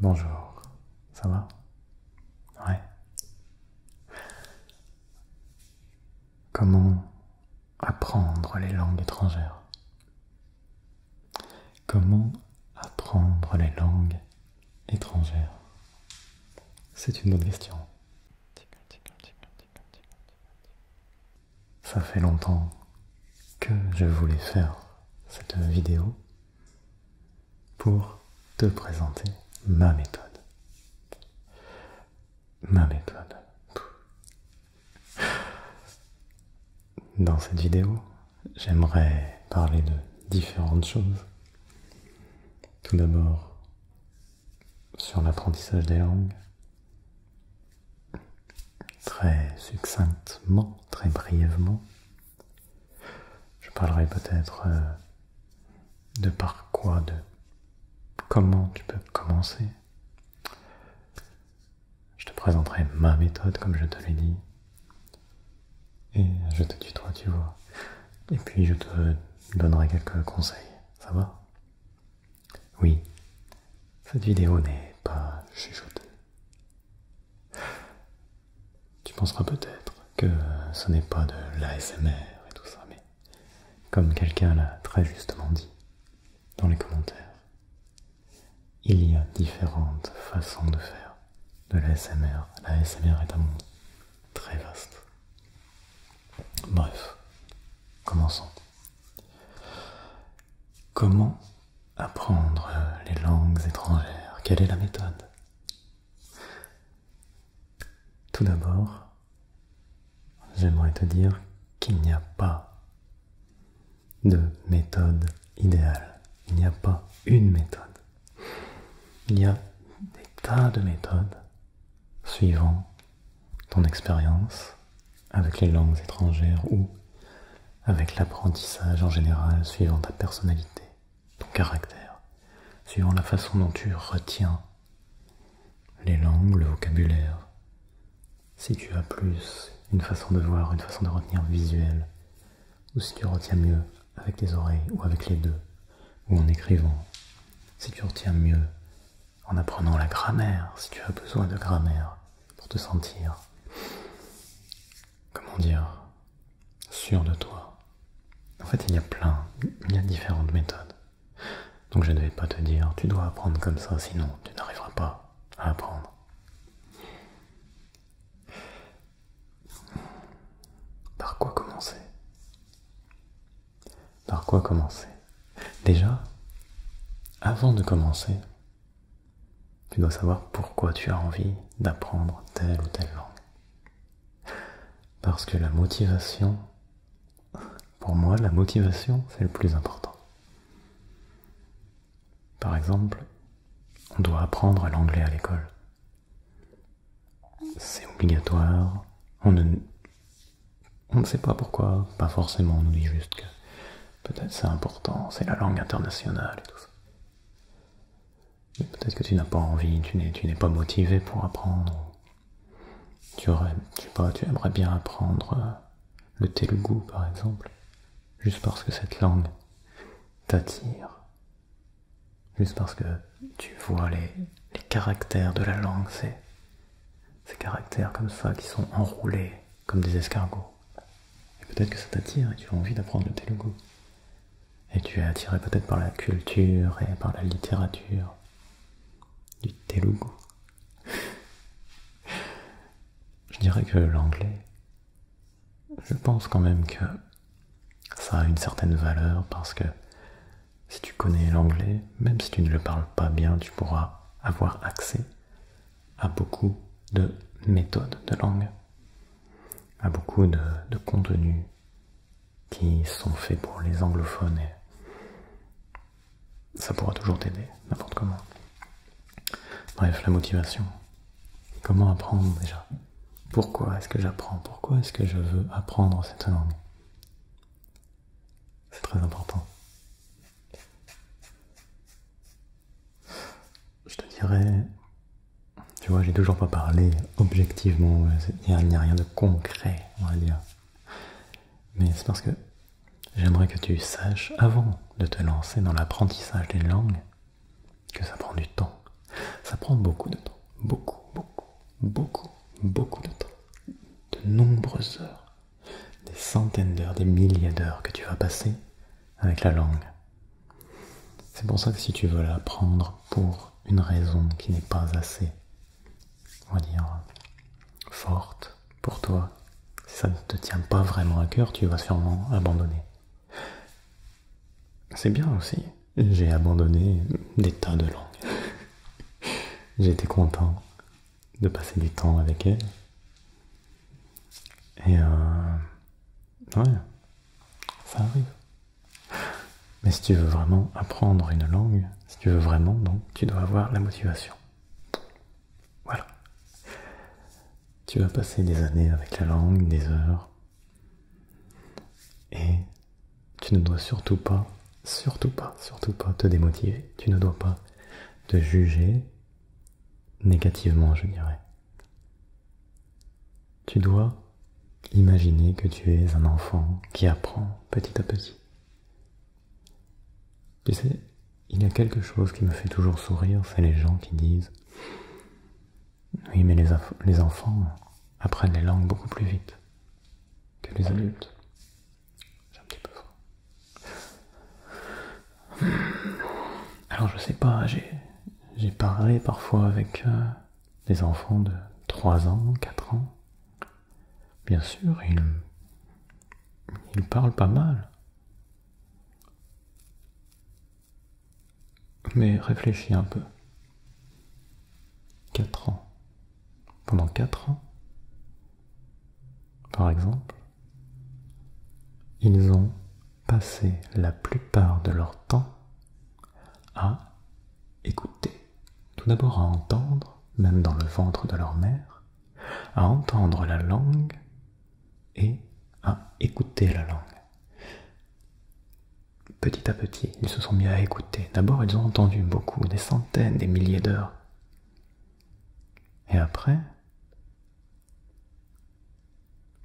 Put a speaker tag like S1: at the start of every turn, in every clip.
S1: Bonjour, ça va Ouais. Comment apprendre les langues étrangères Comment apprendre les langues étrangères C'est une bonne question. Ça fait longtemps que je voulais faire cette vidéo pour te présenter ma méthode. Ma méthode. Dans cette vidéo, j'aimerais parler de différentes choses. Tout d'abord, sur l'apprentissage des langues, très succinctement, très brièvement. Je parlerai peut-être euh, de par quoi, de comment tu peux commencer. Je te présenterai ma méthode, comme je te l'ai dit. Et je te tutoie, tu vois. Et puis je te donnerai quelques conseils. Ça va Oui, cette vidéo n'est pas chuchotée. Tu penseras peut-être que ce n'est pas de l'ASMR et tout ça, mais comme quelqu'un l'a très justement dit dans les commentaires, il y a différentes façons de faire de l'ASMR. L'ASMR est un monde très vaste. Bref, commençons. Comment apprendre les langues étrangères. Quelle est la méthode Tout d'abord, j'aimerais te dire qu'il n'y a pas de méthode idéale. Il n'y a pas une méthode. Il y a des tas de méthodes suivant ton expérience avec les langues étrangères ou avec l'apprentissage en général suivant ta personnalité, ton caractère, suivant la façon dont tu retiens les langues, le vocabulaire. Si tu as plus une façon de voir, une façon de retenir visuelle, ou si tu retiens mieux avec les oreilles ou avec les deux, ou en écrivant, si tu retiens mieux en apprenant la grammaire, si tu as besoin de grammaire pour te sentir comment dire, sûr de toi. En fait, il y a plein, il y a différentes méthodes. Donc je ne vais pas te dire, tu dois apprendre comme ça, sinon tu n'arriveras pas à apprendre. Par quoi commencer Par quoi commencer Déjà, avant de commencer, tu dois savoir pourquoi tu as envie d'apprendre telle ou telle langue. Parce que la motivation, pour moi, la motivation, c'est le plus important. Par exemple, on doit apprendre l'anglais à l'école. C'est obligatoire. On ne, sait pas pourquoi. Pas forcément, on nous dit juste que peut-être c'est important, c'est la langue internationale et tout ça. Peut-être que tu n'as pas envie, tu n'es pas motivé pour apprendre. Tu, aimerais bien apprendre euh, le telugu, par exemple, juste parce que cette langue t'attire, juste parce que tu vois les, caractères de la langue, ces caractères comme ça qui sont enroulés comme des escargots. Et peut-être que ça t'attire et tu as envie d'apprendre le telugu. Et tu es attiré peut-être par la culture et par la littérature du telugu. je dirais que l'anglais, je pense quand même que ça a une certaine valeur parce que si tu connais l'anglais, même si tu ne le parles pas bien, tu pourras avoir accès à beaucoup de méthodes de langue, à beaucoup de, contenus qui sont faits pour les anglophones et ça pourra toujours t'aider, n'importe comment. Bref, la motivation. Comment apprendre déjà Pourquoi est-ce que j'apprends Pourquoi est-ce que je veux apprendre cette langue C'est très important. Je te dirais, tu vois, j'ai toujours pas parlé objectivement, il n'y a, rien de concret, on va dire. Mais c'est parce que j'aimerais que tu saches, avant de te lancer dans l'apprentissage des langues, que ça prend du temps. Ça prend beaucoup de temps. Beaucoup, beaucoup, beaucoup, beaucoup de temps. De nombreuses heures. Des centaines d'heures, des milliers d'heures que tu vas passer avec la langue. C'est pour ça que si tu veux l'apprendre pour une raison qui n'est pas assez, on va dire, forte pour toi, si ça ne te tient pas vraiment à cœur, tu vas sûrement abandonner. C'est bien aussi. J'ai abandonné des tas de langues. J'étais content de passer du temps avec elle. Et euh, ouais, ça arrive. Mais si tu veux vraiment apprendre une langue, si tu veux vraiment, donc, tu dois avoir la motivation. Voilà. Tu vas passer des années avec la langue, des heures, et tu ne dois surtout pas, surtout pas, surtout pas te démotiver. Tu ne dois pas te juger négativement, je dirais. Tu dois imaginer que tu es un enfant qui apprend petit à petit. Tu sais, il y a quelque chose qui me fait toujours sourire, c'est les gens qui disent Oui, mais les, enfants apprennent les langues beaucoup plus vite que les adultes. J'ai un petit peu froid. Alors je sais pas, j'ai parlé parfois avec euh, des enfants de 3 ans, 4 ans. Bien sûr, ils parlent pas mal. Mais réfléchis un peu. 4 ans. Pendant 4 ans, par exemple, ils ont passé la plupart de leur temps à écouter, tout d'abord à entendre, même dans le ventre de leur mère, à entendre la langue et à écouter la langue. Petit à petit, ils se sont mis à écouter. D'abord, ils ont entendu beaucoup, des centaines, des milliers d'heures. Et après,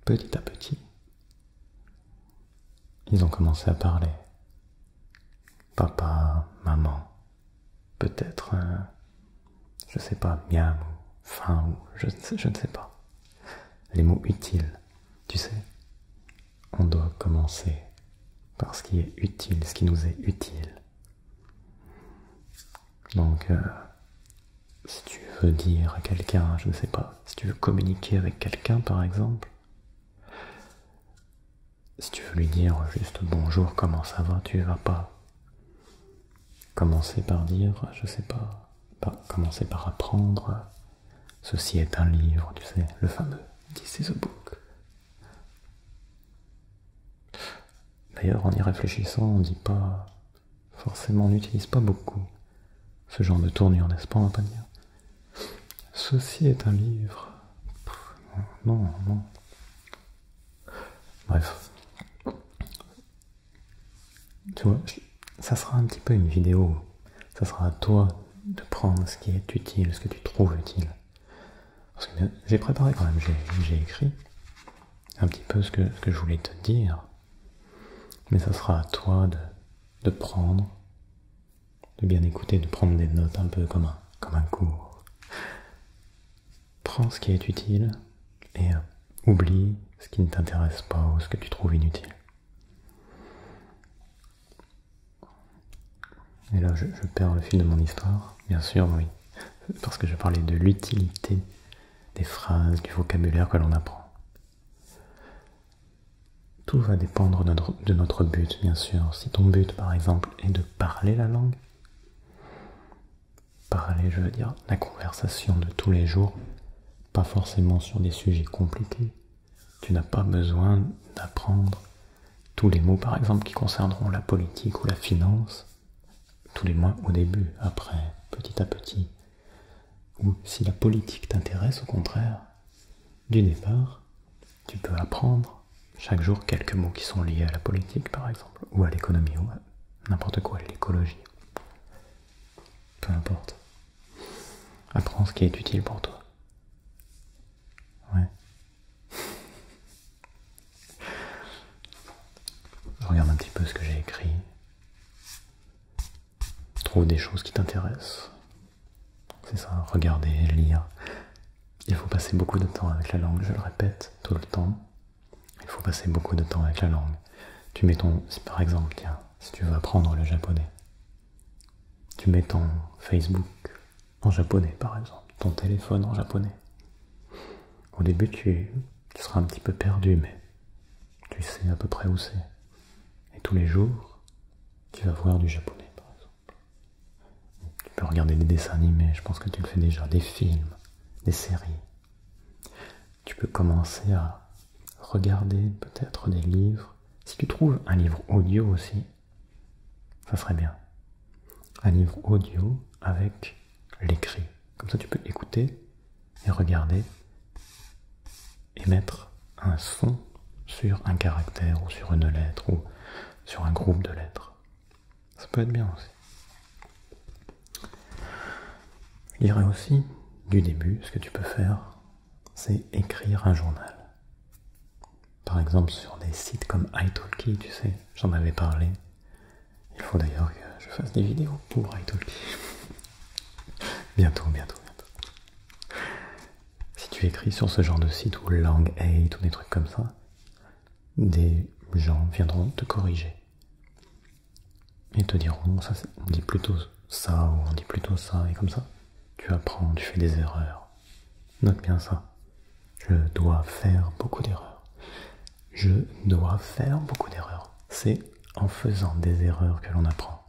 S1: Petit à petit, ils ont commencé à parler. Papa, maman, peut-être, euh, je ne sais pas, miam ou fin ou je, je ne sais pas. Les mots utiles, tu sais. On doit commencer par ce qui est utile, ce qui nous est utile donc, euh, si tu veux dire à quelqu'un, je ne sais pas, si tu veux communiquer avec quelqu'un par exemple, si tu veux lui dire juste bonjour, comment ça va, tu vas pas commencer par dire, je ne sais pas, pas commencer par apprendre, ceci est un livre, tu sais, le fameux, this is a book. D'ailleurs, en y réfléchissant, on dit pas forcément, on n'utilise pas beaucoup ce genre de tournure, n'est-ce pas, on va Ceci est un livre. Non, non. Bref. Tu vois, ça sera un petit peu une vidéo. Ça sera à toi de prendre ce qui est utile, ce que tu trouves utile. Parce que j'ai préparé quand même, j'ai écrit un petit peu ce que, je voulais te dire, mais ça sera à toi de, prendre, de bien écouter, de prendre des notes un peu comme un, comme un cours. Prends ce qui est utile et euh, oublie ce qui ne t'intéresse pas ou ce que tu trouves inutile. Et là, je perds le fil de mon histoire, bien sûr, oui parce que je parlais de l'utilité des phrases, du vocabulaire que l'on apprend. Tout va dépendre de notre, but, bien sûr. Si ton but, par exemple, est de parler la langue, parler, je veux dire, la conversation de tous les jours, pas forcément sur des sujets compliqués. Tu n'as pas besoin d'apprendre tous les mots, par exemple, qui concerneront la politique ou la finance tous les mois au début, après, petit à petit, ou si la politique t'intéresse, au contraire, du départ, tu peux apprendre chaque jour quelques mots qui sont liés à la politique, par exemple, ou à l'économie, ou à n'importe quoi, à l'écologie. Peu importe. Apprends ce qui est utile pour toi. Ouais. Je Regarde un petit peu ce que j'ai écrit. Trouve des choses qui t'intéressent. C'est ça, regarder, lire. Il faut passer beaucoup de temps avec la langue, je le répète tout le temps. Il faut passer beaucoup de temps avec la langue. Tu mets ton, par exemple, tiens, si tu veux apprendre le japonais, tu mets ton Facebook en japonais, par exemple, ton téléphone en japonais, au début, tu, seras un petit peu perdu, mais tu sais à peu près où c'est. Et tous les jours, tu vas voir du japonais, par exemple. Tu peux regarder des dessins animés, je pense que tu le fais déjà, des films, des séries. Tu peux commencer à regarder peut-être des livres. Si tu trouves un livre audio aussi, ça serait bien. Un livre audio avec l'écrit. Comme ça, tu peux écouter et regarder et mettre un son sur un caractère ou sur une lettre ou sur un groupe de lettres. Ça peut être bien aussi. y dirais aussi, du début, ce que tu peux faire, c'est écrire un journal. Par exemple, sur des sites comme iTalki, tu sais, j'en avais parlé, il faut d'ailleurs que je fasse des vidéos pour Italki. bientôt, bientôt, bientôt. Si tu écris sur ce genre de site ou langue 8 ou des trucs comme ça, des gens viendront te corriger. Ils te diront, on dit plutôt ça ou on dit plutôt ça, et comme ça, tu apprends, tu fais des erreurs. Note bien ça. Je dois faire beaucoup d'erreurs. Je dois faire beaucoup d'erreurs. C'est en faisant des erreurs que l'on apprend.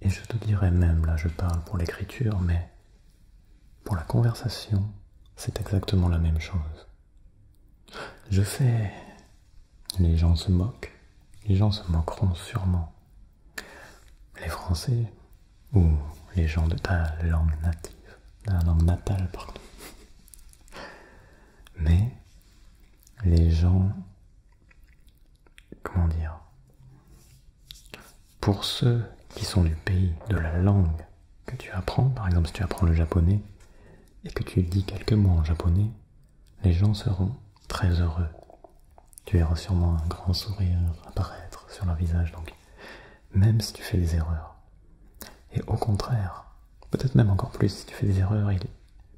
S1: Et je te dirais même, là je parle pour l'écriture, mais pour la conversation, c'est exactement la même chose. Je fais... Les gens se moquent. Les gens se moqueront sûrement. Les Français, ou les gens de ta langue native, la langue natale, pardon. Mais les gens, comment dire, pour ceux qui sont du pays, de la langue que tu apprends, par exemple si tu apprends le japonais et que tu dis quelques mots en japonais, les gens seront très heureux. Tu verras sûrement un grand sourire apparaître sur leur visage même si tu fais des erreurs. Et au contraire, peut-être même encore plus si tu fais des erreurs,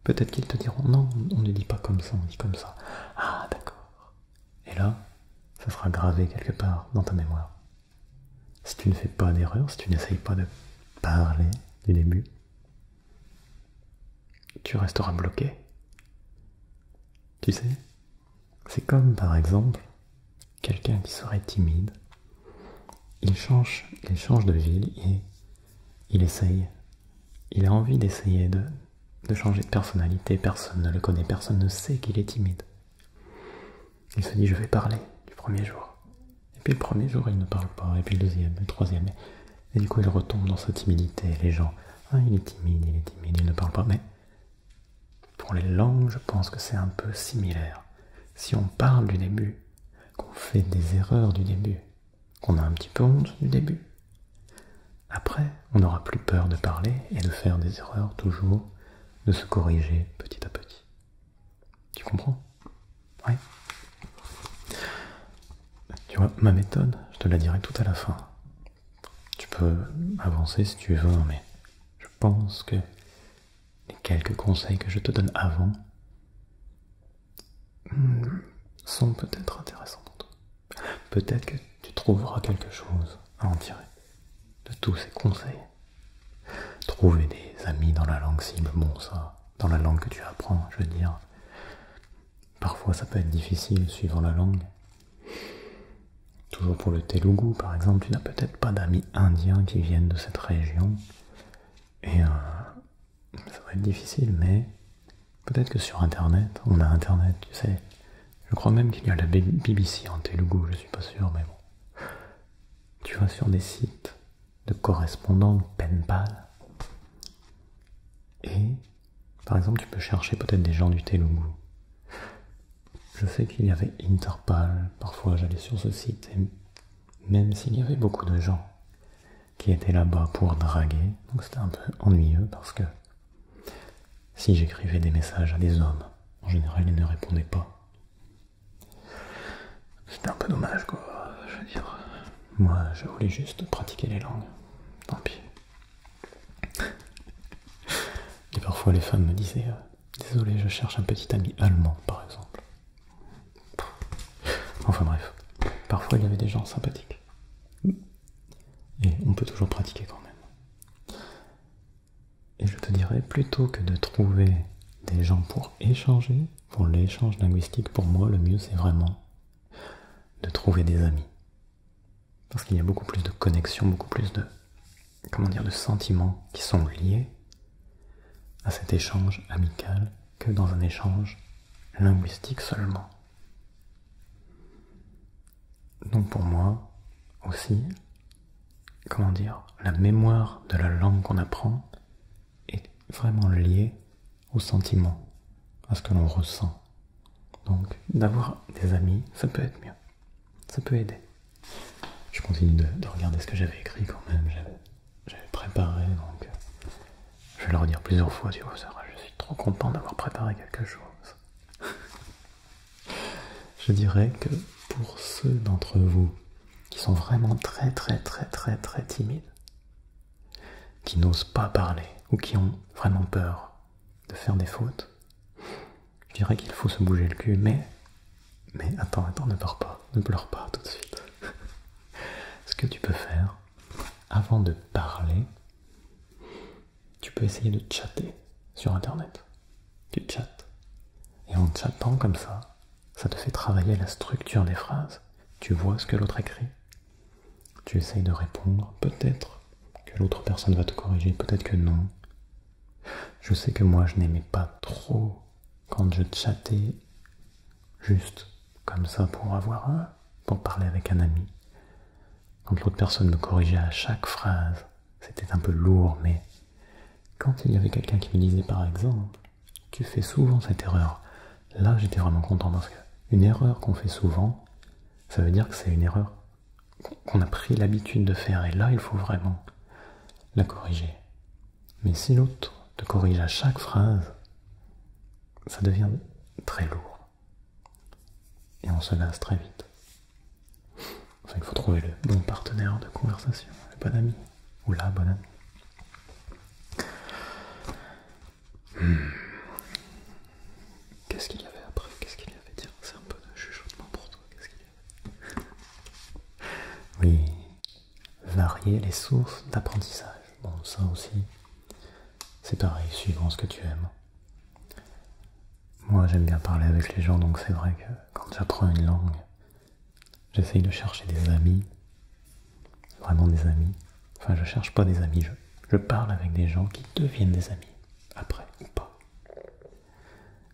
S1: peut-être qu'ils te diront non, on ne dit pas comme ça, on dit comme ça. Ah d'accord. Et là, ça sera gravé quelque part dans ta mémoire. Si tu ne fais pas d'erreur, si tu n'essayes pas de parler du début, tu resteras bloqué. Tu sais, c'est comme par exemple quelqu'un qui serait timide, il change, il change de ville et il essaye, il a envie d'essayer de, changer de personnalité, personne ne le connaît, personne ne sait qu'il est timide. Il se dit je vais parler du premier jour. Et puis le premier jour il ne parle pas, et puis le deuxième, le troisième. Et du coup il retombe dans sa timidité, les gens, ah il est timide, il est timide, il ne parle pas, mais pour les langues, je pense que c'est un peu similaire. Si on parle du début, qu'on fait des erreurs du début, qu'on a un petit peu honte du début, après, on n'aura plus peur de parler et de faire des erreurs toujours, de se corriger petit à petit. Tu comprends Oui. Tu vois, ma méthode, je te la dirai tout à la fin. Tu peux avancer si tu veux, mais je pense que les quelques conseils que je te donne avant hmm, sont peut-être intéressants Peut-être que tu trouveras quelque chose à en tirer de tous ces conseils. Trouver des amis dans la langue cible, bon ça, dans la langue que tu apprends, je veux dire. Parfois ça peut être difficile suivant la langue, Toujours pour le Telugu, par exemple, tu n'as peut-être pas d'amis indiens qui viennent de cette région. Et euh, ça va être difficile, mais peut-être que sur Internet, on a Internet, tu sais. Je crois même qu'il y a la BBC en Telugu, je suis pas sûr, mais bon. Tu vas sur des sites de correspondants Penpal. Et, par exemple, tu peux chercher peut-être des gens du Telugu. Je sais qu'il y avait Interpal, parfois j'allais sur ce site, et même s'il y avait beaucoup de gens qui étaient là-bas pour draguer, donc c'était un peu ennuyeux parce que si j'écrivais des messages à des hommes, en général ils ne répondaient pas. C'était un peu dommage quoi, je veux dire. Moi je voulais juste pratiquer les langues, tant pis. Et parfois les femmes me disaient euh, Désolé, je cherche un petit ami allemand, par exemple. Enfin bref, parfois il y avait des gens sympathiques. Et on peut toujours pratiquer quand même. Et je te dirais, plutôt que de trouver des gens pour échanger, pour l'échange linguistique, pour moi, le mieux c'est vraiment de trouver des amis. Parce qu'il y a beaucoup plus de connexions, beaucoup plus de, comment de sentiments qui sont liés à cet échange amical que dans un échange linguistique seulement. Donc pour moi aussi, comment dire, la mémoire de la langue qu'on apprend est vraiment liée au sentiment, à ce que l'on ressent. Donc d'avoir des amis, ça peut être mieux ça peut aider. Je continue de, regarder ce que j'avais écrit quand même, j'avais préparé, donc euh, je vais le redire plusieurs fois, tu vous je suis trop content d'avoir préparé quelque chose. je dirais que pour ceux d'entre vous qui sont vraiment très très très très très timides, qui n'osent pas parler ou qui ont vraiment peur de faire des fautes, je dirais qu'il faut se bouger le cul, mais. Mais attends, attends, ne pleure pas, ne pleure pas tout de suite. Ce que tu peux faire, avant de parler, tu peux essayer de chatter sur internet. Tu chattes. Et en chattant comme ça, ça te fait travailler la structure des phrases. Tu vois ce que l'autre écrit. Tu essayes de répondre, peut-être que l'autre personne va te corriger, peut-être que non. Je sais que moi je n'aimais pas trop quand je chattais juste comme ça pour avoir un, pour parler avec un ami. Quand l'autre personne me corrigeait à chaque phrase, c'était un peu lourd, mais quand il y avait quelqu'un qui me disait par exemple, tu fais souvent cette erreur, là j'étais vraiment content parce que une erreur qu'on fait souvent, ça veut dire que c'est une erreur qu'on a pris l'habitude de faire, et là il faut vraiment la corriger. Mais si l'autre te corrige à chaque phrase, ça devient très lourd. Et on se lasse très vite. il faut trouver le bon partenaire de conversation, le bon ami, ou la bonne amie. Hmm. Qu'est-ce qu'il y avait après Qu'est-ce qu'il y avait c'est un peu de chuchotement pour toi. Qu'est-ce qu'il y avait Oui, varier les sources d'apprentissage. Bon, ça aussi, c'est pareil, suivant ce que tu aimes. Moi, j'aime bien parler avec les gens, donc c'est vrai que quand j'apprends une langue, j'essaye de chercher des amis, vraiment des amis. Enfin, je cherche pas des amis, je, je parle avec des gens qui deviennent des amis, après ou pas.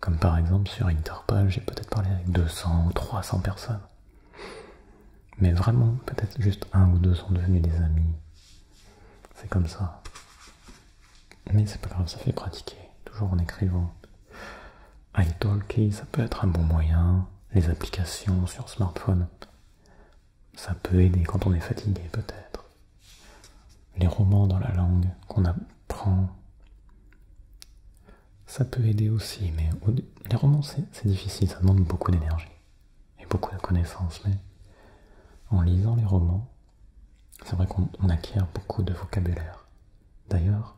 S1: Comme par exemple sur Interpol, j'ai peut-être parlé avec 200 ou 300 personnes. Mais vraiment, peut-être juste un ou deux sont devenus des amis. C'est comme ça. Mais c'est pas grave, ça fait pratiquer, toujours en écrivant. iTalki, ça peut être un bon moyen. Les applications sur smartphone, ça peut aider quand on est fatigué peut-être les romans dans la langue qu'on apprend. Ça peut aider aussi, mais les romans, c'est difficile, ça demande beaucoup d'énergie et beaucoup de connaissances. Mais en lisant les romans, c'est vrai qu'on acquiert beaucoup de vocabulaire. D'ailleurs,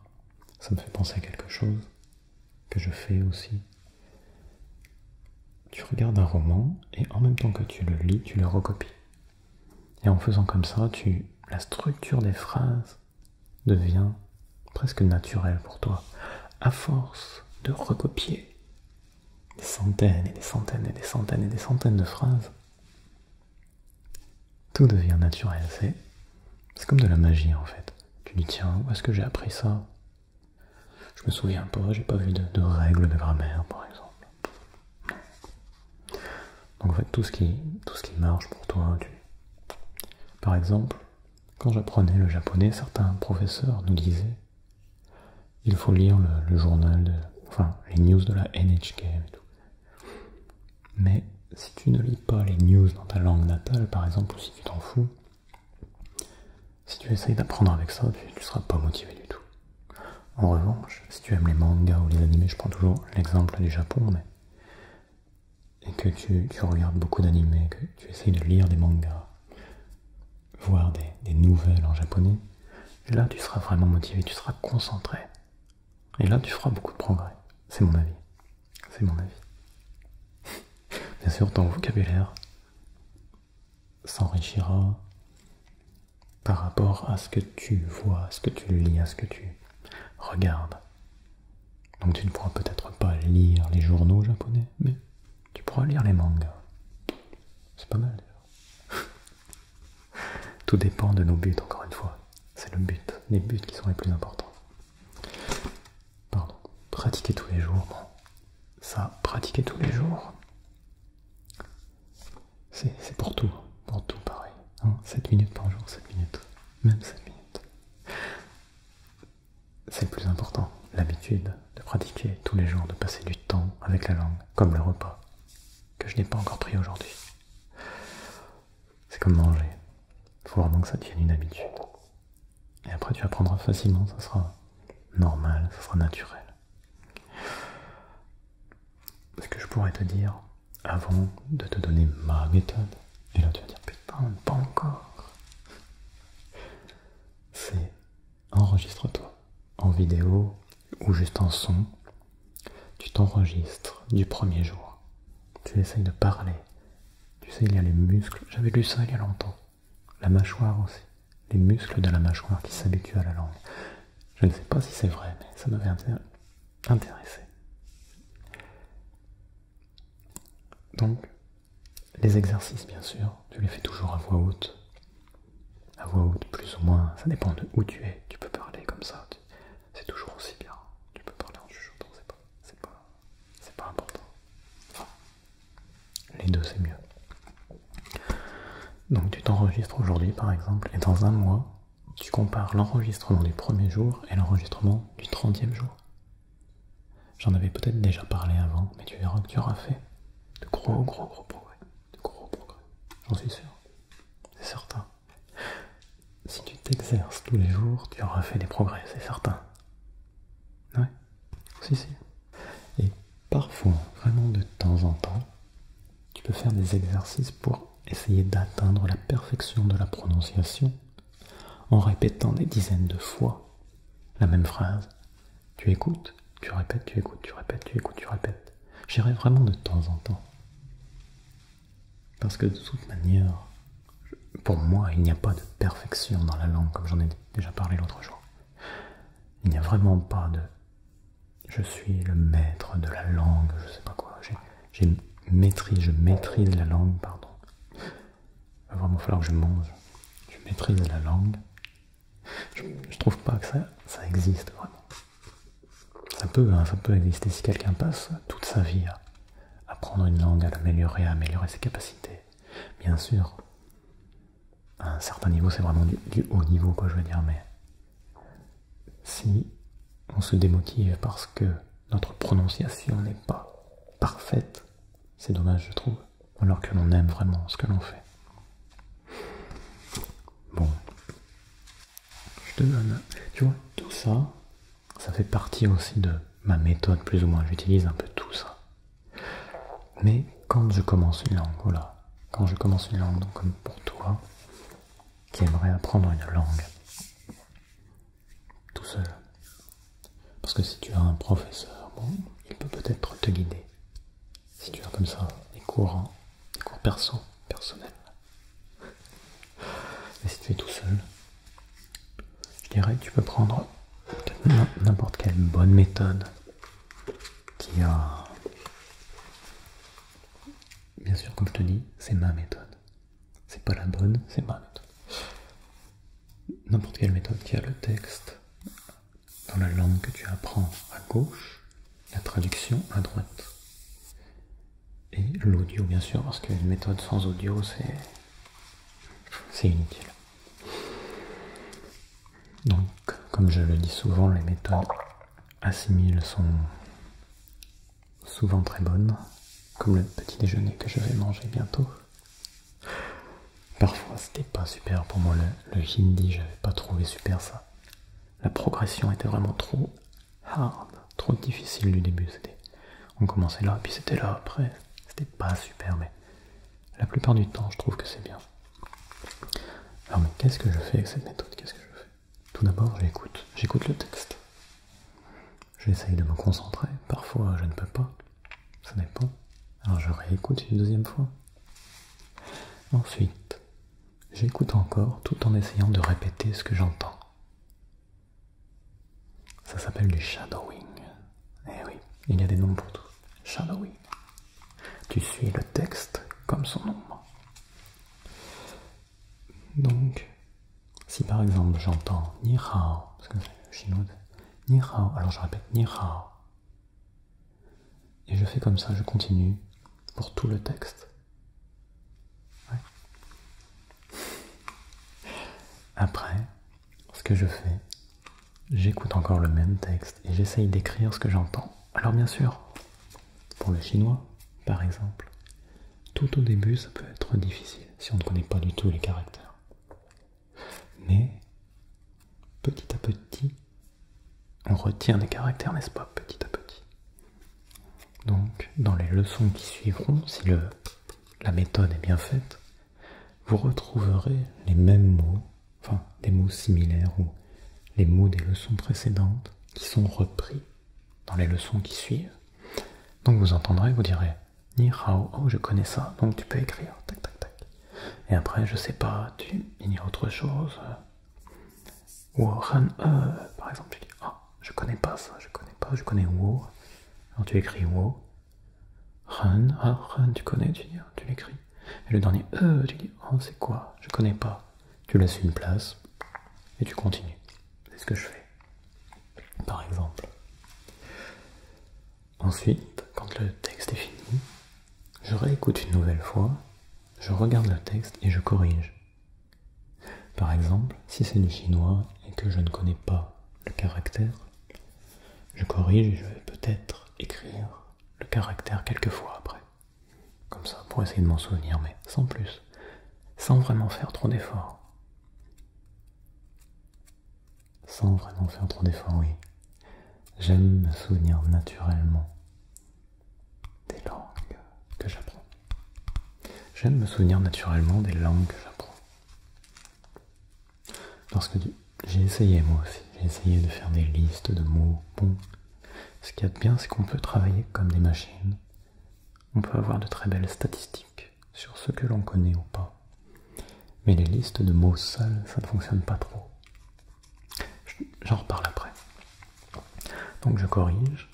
S1: ça me fait penser à quelque chose que je fais aussi. Tu regardes un roman et en même temps que tu le lis, tu le recopies. Et en faisant comme ça, la structure des phrases devient presque naturelle pour toi, à force de recopier des centaines et des centaines et des centaines et des centaines de phrases. Tout devient naturel, c'est comme de la magie en fait. Tu dis tiens, où est-ce que j'ai appris ça Je me souviens pas, j'ai pas vu de règles de grammaire par exemple. Donc en fait, tout ce qui, marche pour toi, par exemple, quand j'apprenais le japonais, certains professeurs nous disaient il faut lire le, journal, enfin les news de la NHK Mais si tu ne lis pas les news dans ta langue natale, par exemple, ou si tu t'en fous, si tu essayes d'apprendre avec ça, tu ne seras pas motivé du tout. En revanche, si tu aimes les mangas ou les animés, je prends toujours l'exemple du Japon, et que tu, regardes beaucoup d'animés, que tu essayes de lire des mangas, voir des, des nouvelles en japonais, là tu seras vraiment motivé, tu seras concentré. Et là tu feras beaucoup de progrès. C'est mon avis. C'est mon avis. Bien sûr, ton vocabulaire s'enrichira par rapport à ce que tu vois, à ce que tu lis, à ce que tu regardes. Donc tu ne pourras peut-être pas lire les journaux japonais, mais tu pourras lire les mangas. C'est pas mal Tout dépend de nos buts, encore une fois. C'est le but, les buts qui sont les plus importants. Pardon. Pratiquer tous les jours, Ça, pratiquer tous les jours, c'est pour tout, pour tout pareil. 7 hein. minutes par jour, 7 minutes, même 7 minutes. C'est le plus important, l'habitude de pratiquer tous les jours, de passer du temps avec la langue, comme le repas, que je n'ai pas encore pris aujourd'hui. C'est comme manger. Il faut vraiment que ça devienne une habitude. Et après, tu apprendras facilement, ça sera normal, ça sera naturel. Ce que je pourrais te dire, avant de te donner ma méthode, et là tu vas dire putain, pas encore. C'est enregistre-toi en vidéo ou juste en son. Tu t'enregistres du premier jour. Tu essayes de parler. Tu sais, il y a les muscles. J'avais lu ça il y a longtemps. La mâchoire aussi. Les muscles de la mâchoire qui s'habituent à la langue. Je ne sais pas si c'est vrai, mais ça m'avait intéressé. Donc, les exercices, bien sûr, tu les fais toujours à voix haute. À voix haute, plus ou moins, ça dépend de où tu es. Tu peux parler comme ça, c'est toujours aussi bien. Tu peux parler en chuchotant, c'est pas, important. Les deux, c'est mieux. Donc tu t'enregistres aujourd'hui par exemple, et dans un mois, tu compares l'enregistrement du premier jour et l'enregistrement du trentième jour. J'en avais peut-être déjà parlé avant, mais tu verras que tu auras fait de gros, gros, progrès. progrès. J'en suis sûr. C'est certain. Si tu t'exerces tous les jours, tu auras fait des progrès, c'est certain. Si, Et parfois, vraiment de temps en temps, tu peux faire des exercices pour essayer d'atteindre la perfection de la prononciation en répétant des dizaines de fois la même phrase. Tu écoutes, tu répètes, tu écoutes, tu répètes, tu écoutes, tu répètes. J'irai vraiment de temps en temps. Parce que de toute manière, pour moi, il n'y a pas de perfection dans la langue, comme j'en ai déjà parlé l'autre jour. Il n'y a vraiment pas de je suis le maître de la langue, je sais pas quoi. J'ai maîtrise, je maîtrise la langue, pardon. Il va vraiment falloir que je mange. Je maîtrise la langue. Je, trouve pas que ça, ça existe vraiment. Ça peut, hein, ça peut exister si quelqu'un passe toute sa vie à apprendre une langue, à l'améliorer, à améliorer ses capacités. Bien sûr, à un certain niveau, c'est vraiment du, haut niveau, quoi, je veux dire, mais si on se démotive parce que notre prononciation n'est pas parfaite, c'est dommage, je trouve, alors que l'on aime vraiment ce que l'on fait. Bon, je te donne, tu vois, tout ça, ça fait partie aussi de ma méthode, plus ou moins, j'utilise un peu tout ça. Mais quand je commence une langue, voilà, quand je commence une langue, donc comme pour toi, qui aimerais apprendre une langue tout seul, parce que si tu as un professeur, bon, il peut peut-être te guider. Si tu as comme ça des cours, hein, des cours perso, personnels. Mais si tu es tout seul, je dirais que tu peux prendre n'importe quelle bonne méthode qui a... Bien sûr, comme je te dis, c'est ma méthode. C'est pas la bonne, c'est ma méthode. N'importe quelle méthode qui a le texte dans la langue que tu apprends à gauche, la traduction à droite. Et l'audio, bien sûr, parce qu'une méthode sans audio, c'est inutile. Donc, comme je le dis souvent, les méthodes assimiles sont souvent très bonnes, comme le petit déjeuner que je vais manger bientôt. Parfois, c'était pas super pour moi le, le hindi, j'avais pas trouvé super ça. La progression était vraiment trop hard, trop difficile du début. C'était, on commençait là, puis c'était là après. C'était pas super, mais la plupart du temps, je trouve que c'est bien. Alors, mais qu'est-ce que je fais avec cette méthode Qu'est-ce que je fais Tout d'abord, j'écoute. J'écoute le texte. J'essaye de me concentrer. Parfois, je ne peux pas. Ça dépend. Alors, je réécoute une deuxième fois. Ensuite, j'écoute encore tout en essayant de répéter ce que j'entends. Ça s'appelle du shadowing. Eh oui, il y a des noms pour tout. Shadowing. Tu suis le texte comme son ombre. Donc, si par exemple j'entends ni parce que le chinois, ni alors je répète ni et je fais comme ça, je continue pour tout le texte. Après, ce que je fais, J'écoute encore le même texte et j'essaye d'écrire ce que j'entends. Alors bien sûr, pour le chinois, par exemple, tout au début, ça peut être difficile si on ne connaît pas du tout les caractères. Mais petit à petit, on retient des caractères, n'est-ce pas, petit à petit. Donc, dans les leçons qui suivront, si la méthode est bien faite, vous retrouverez les mêmes mots, enfin des mots similaires ou les mots des leçons précédentes qui sont repris dans les leçons qui suivent. Donc vous entendrez, vous direz Ni hao, oh je connais ça, donc tu peux écrire, tac tac tac. Et après, je sais pas, tu, il y a autre chose. Ou Han E, euh, par exemple, tu dis Ah, je connais pas ça, je connais pas, je connais Wo. Alors tu écris Wo, Run, ah, tu connais, tu l'écris. Et le dernier E, tu dis, oh, c'est quoi Je connais pas. Tu laisses une place et tu continues. C'est ce que je fais. Par exemple. Ensuite, quand le texte est fini, je réécoute une nouvelle fois, je regarde le texte et je corrige. Par exemple, si c'est du chinois et que je ne connais pas le caractère, je corrige et je vais peut-être écrire le caractère quelques fois après. Comme ça, pour essayer de m'en souvenir, mais sans plus. Sans vraiment faire trop d'efforts. Sans vraiment faire trop d'efforts, oui. J'aime me souvenir naturellement des langues que j'apprends. J'aime me souvenir naturellement des langues que j'apprends. Parce que j'ai essayé moi aussi, j'ai essayé de faire des listes de mots. bons. ce qu'il y a de bien, c'est qu'on peut travailler comme des machines. On peut avoir de très belles statistiques sur ce que l'on connaît ou pas. Mais les listes de mots seuls, ça ne fonctionne pas trop. J'en reparle après. Donc je corrige,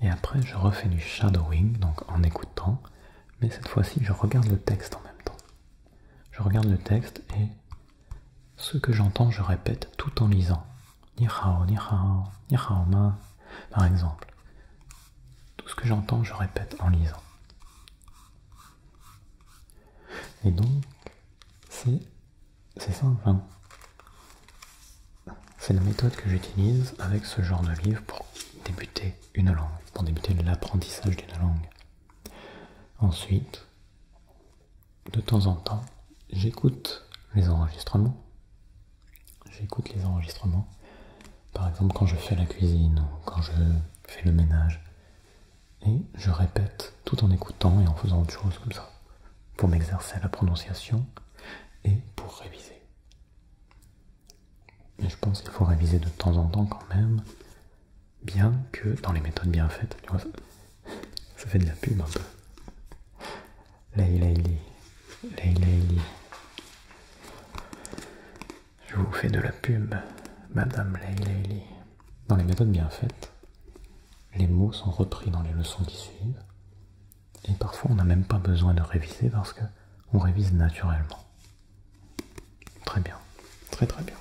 S1: et après je refais du shadowing, donc en écoutant, mais cette fois-ci je regarde le texte en même temps. Je regarde le texte et ce que j'entends, je répète tout en lisant. Ni hao, ni ma, par exemple. Tout ce que j'entends, je répète en lisant. Et donc, c'est ça, enfin, c'est la méthode que j'utilise avec ce genre de livre pour débuter une langue, pour débuter l'apprentissage d'une langue. Ensuite, de temps en temps, j'écoute les enregistrements. J'écoute les enregistrements. Par exemple, quand je fais la cuisine ou quand je fais le ménage. Et je répète tout en écoutant et en faisant autre chose comme ça. Pour m'exercer à la prononciation et pour réviser je pense qu'il faut réviser de temps en temps quand même, bien que dans les méthodes bien faites, tu vois, ça, fait de la pub un peu. Laylaili, Laylaili. Je vous fais de la pub, Madame Laylaili. Dans les méthodes bien faites, les mots sont repris dans les leçons qui suivent, et parfois on n'a même pas besoin de réviser parce qu'on révise naturellement. Très bien, très très bien.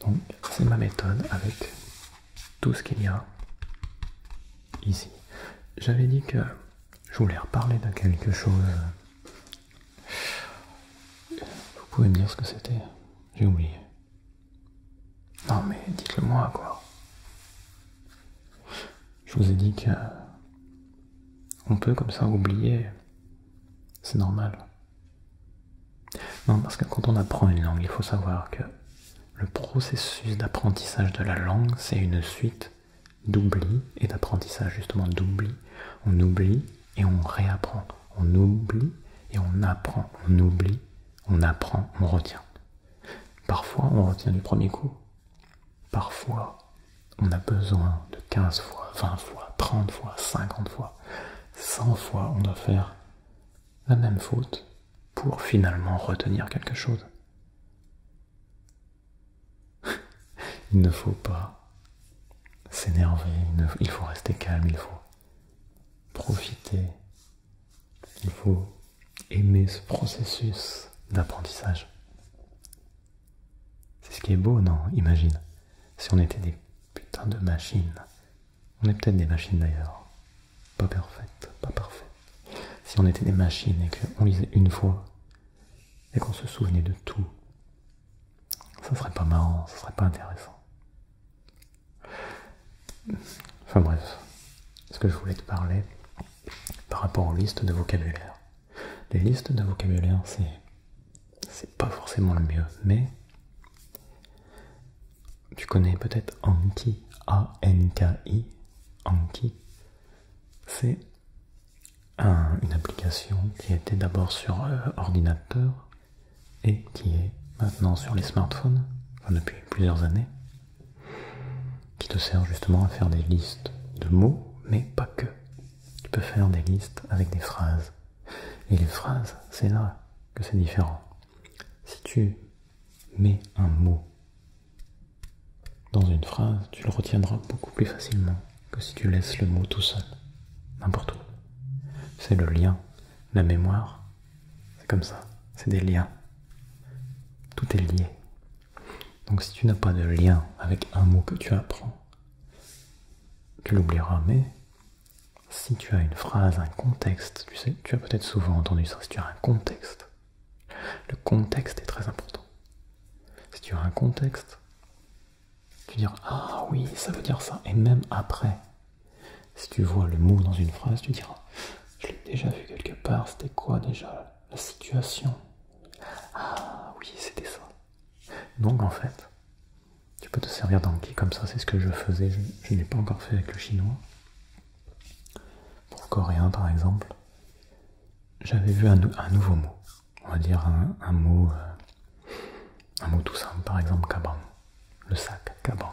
S1: Donc, c'est ma méthode avec tout ce qu'il y a ici. J'avais dit que je voulais reparler de quelque chose. Vous pouvez me dire ce que c'était J'ai oublié. Non mais dites-le moi quoi. Je vous ai dit que on peut comme ça oublier. C'est normal. Non, parce que quand on apprend une langue, il faut savoir que le processus d'apprentissage de la langue, c'est une suite d'oubli et d'apprentissage, justement d'oubli. On oublie et on réapprend. On oublie et on apprend. On oublie, on apprend, on retient. Parfois, on retient du premier coup. Parfois, on a besoin de 15 fois, 20 fois, 30 fois, 50 fois, 100 fois, on doit faire la même faute pour finalement retenir quelque chose. il ne faut pas s'énerver, il faut rester calme, il faut profiter il faut aimer ce processus d'apprentissage. C'est ce qui est beau, non Imagine, si on était des putains de machines. On est peut-être des machines d'ailleurs. Pas parfaites, pas parfaites. Si on était des machines et qu'on lisait une fois et qu'on se souvenait de tout, ça serait pas marrant, ça serait pas intéressant. Enfin bref, ce que je voulais te parler, par rapport aux listes de vocabulaire. Les listes de vocabulaire, c'est c'est pas forcément le mieux, mais tu connais peut-être Anki, A-N-K-I, Anki. C'est une application qui était d'abord sur euh, ordinateur et qui est maintenant sur les smartphones, depuis plusieurs années qui te sert justement à faire des listes de mots, mais pas que. Tu peux faire des listes avec des phrases. Et les phrases, c'est là que c'est différent. Si tu mets un mot dans une phrase, tu le retiendras beaucoup plus facilement que si tu laisses le mot tout seul, n'importe où. C'est le lien, la mémoire, c'est comme ça, c'est des liens. Tout est lié. Donc si tu n'as pas de lien avec un mot que tu apprends, tu l'oublieras, mais si tu as une phrase, un contexte, tu sais, tu as peut-être souvent entendu ça, si tu as un contexte, le contexte est très important. Si tu as un contexte, tu diras Ah oui, ça veut dire ça, et même après, si tu vois le mot dans une phrase, tu diras je l'ai déjà vu quelque part, c'était quoi déjà La situation Ah oui, c'était ça. Donc en fait, tu peux te servir d'anki comme ça, c'est ce que je faisais, je, ne n'ai pas encore fait avec le chinois. Pour le coréen par exemple, j'avais vu un, nouveau mot, on va dire un, mot euh, un mot tout simple, par exemple kabang, le sac kabang.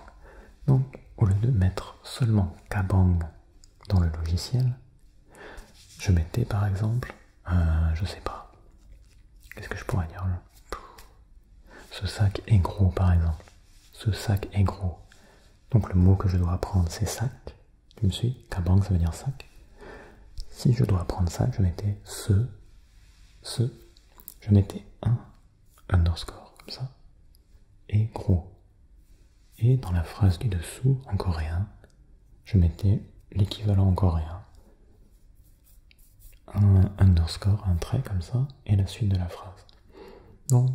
S1: Donc au lieu de mettre seulement kabang dans le logiciel, je mettais par exemple, je sais pas, qu'est-ce que je pourrais dire Ce sac est gros par exemple. Ce sac est gros. Donc le mot que je dois apprendre c'est sac. Tu me suis banque ça veut dire sac. Si je dois apprendre sac, je mettais ce, ce, je mettais un underscore comme ça et gros. Et dans la phrase du dessous, en coréen, je mettais l'équivalent en coréen. Un underscore, un trait comme ça, et la suite de la phrase. Donc,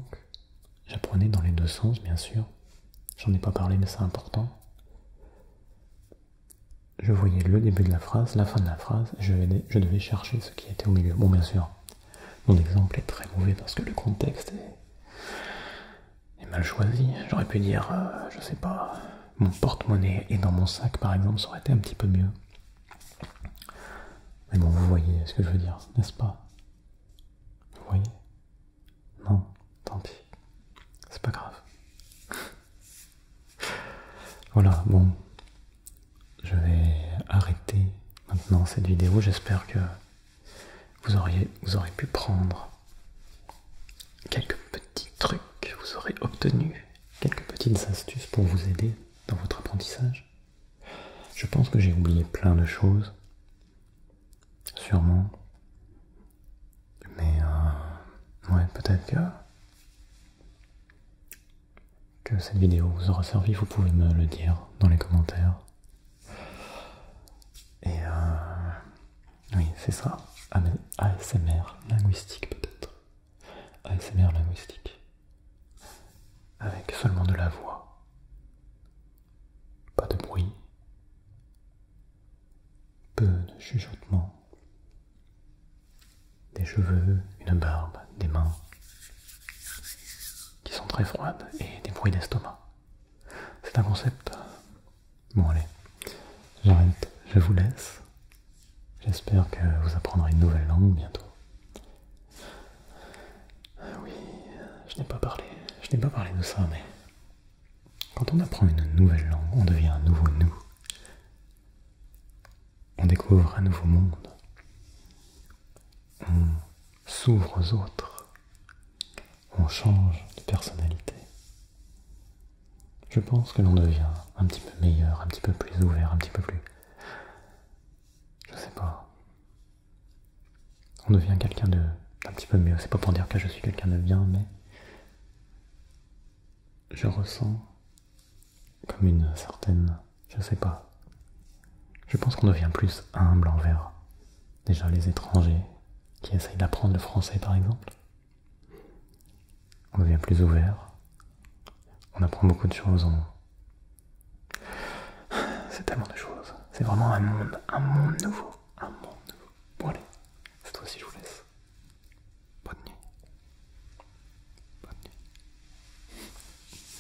S1: j'apprenais dans les deux sens, bien sûr. J'en ai pas parlé, mais c'est important. Je voyais le début de la phrase, la fin de la phrase, je, je devais chercher ce qui était au milieu. Bon, bien sûr, mon exemple est très mauvais parce que le contexte est, mal choisi. J'aurais pu dire, je euh, je sais pas, mon porte-monnaie est dans mon sac par exemple, ça aurait été un petit peu mieux. Mais bon, vous voyez ce que je veux dire, n'est-ce pas Vous voyez Non, tant pis. C'est pas grave. voilà, bon. Je vais arrêter maintenant cette vidéo. J'espère que vous auriez, vous aurez pu prendre quelques petits trucs, vous aurez obtenu quelques petites astuces pour vous aider dans votre apprentissage. Je pense que j'ai oublié plein de choses, sûrement. Mais euh, ouais, peut-être que que cette vidéo vous aura servi, vous pouvez me le dire dans les commentaires. Et euh, oui, c'est ça. ASMR linguistique peut-être. ASMR linguistique. Avec seulement de la voix. Pas de bruit. Peu de chuchotement. Des cheveux, une barbe, des mains qui sont très froides et des bruits d'estomac. C'est un concept. Euh, bon allez, j'arrête, je vous laisse. J'espère que vous apprendrez une nouvelle langue bientôt. Ah oui, je n'ai pas parlé, je n'ai pas parlé de ça, mais quand on apprend une nouvelle langue, on devient un nouveau nous. On découvre un nouveau monde s'ouvre aux autres. On change de personnalité. Je pense que l'on devient un petit peu meilleur, un petit peu plus ouvert, un petit peu plus... Je sais pas. On devient quelqu'un de... un petit peu mieux. C'est pas pour dire que je suis quelqu'un de bien, mais... Je ressens comme une certaine je sais pas. Je pense qu'on devient plus humble envers déjà les étrangers qui essayent d'apprendre le français par exemple. On devient plus ouvert. On apprend beaucoup de choses. en... C'est tellement de choses. C'est vraiment un monde, un monde nouveau. Un monde nouveau. Bon allez, cette fois je vous laisse. Bonne nuit. Bonne nuit.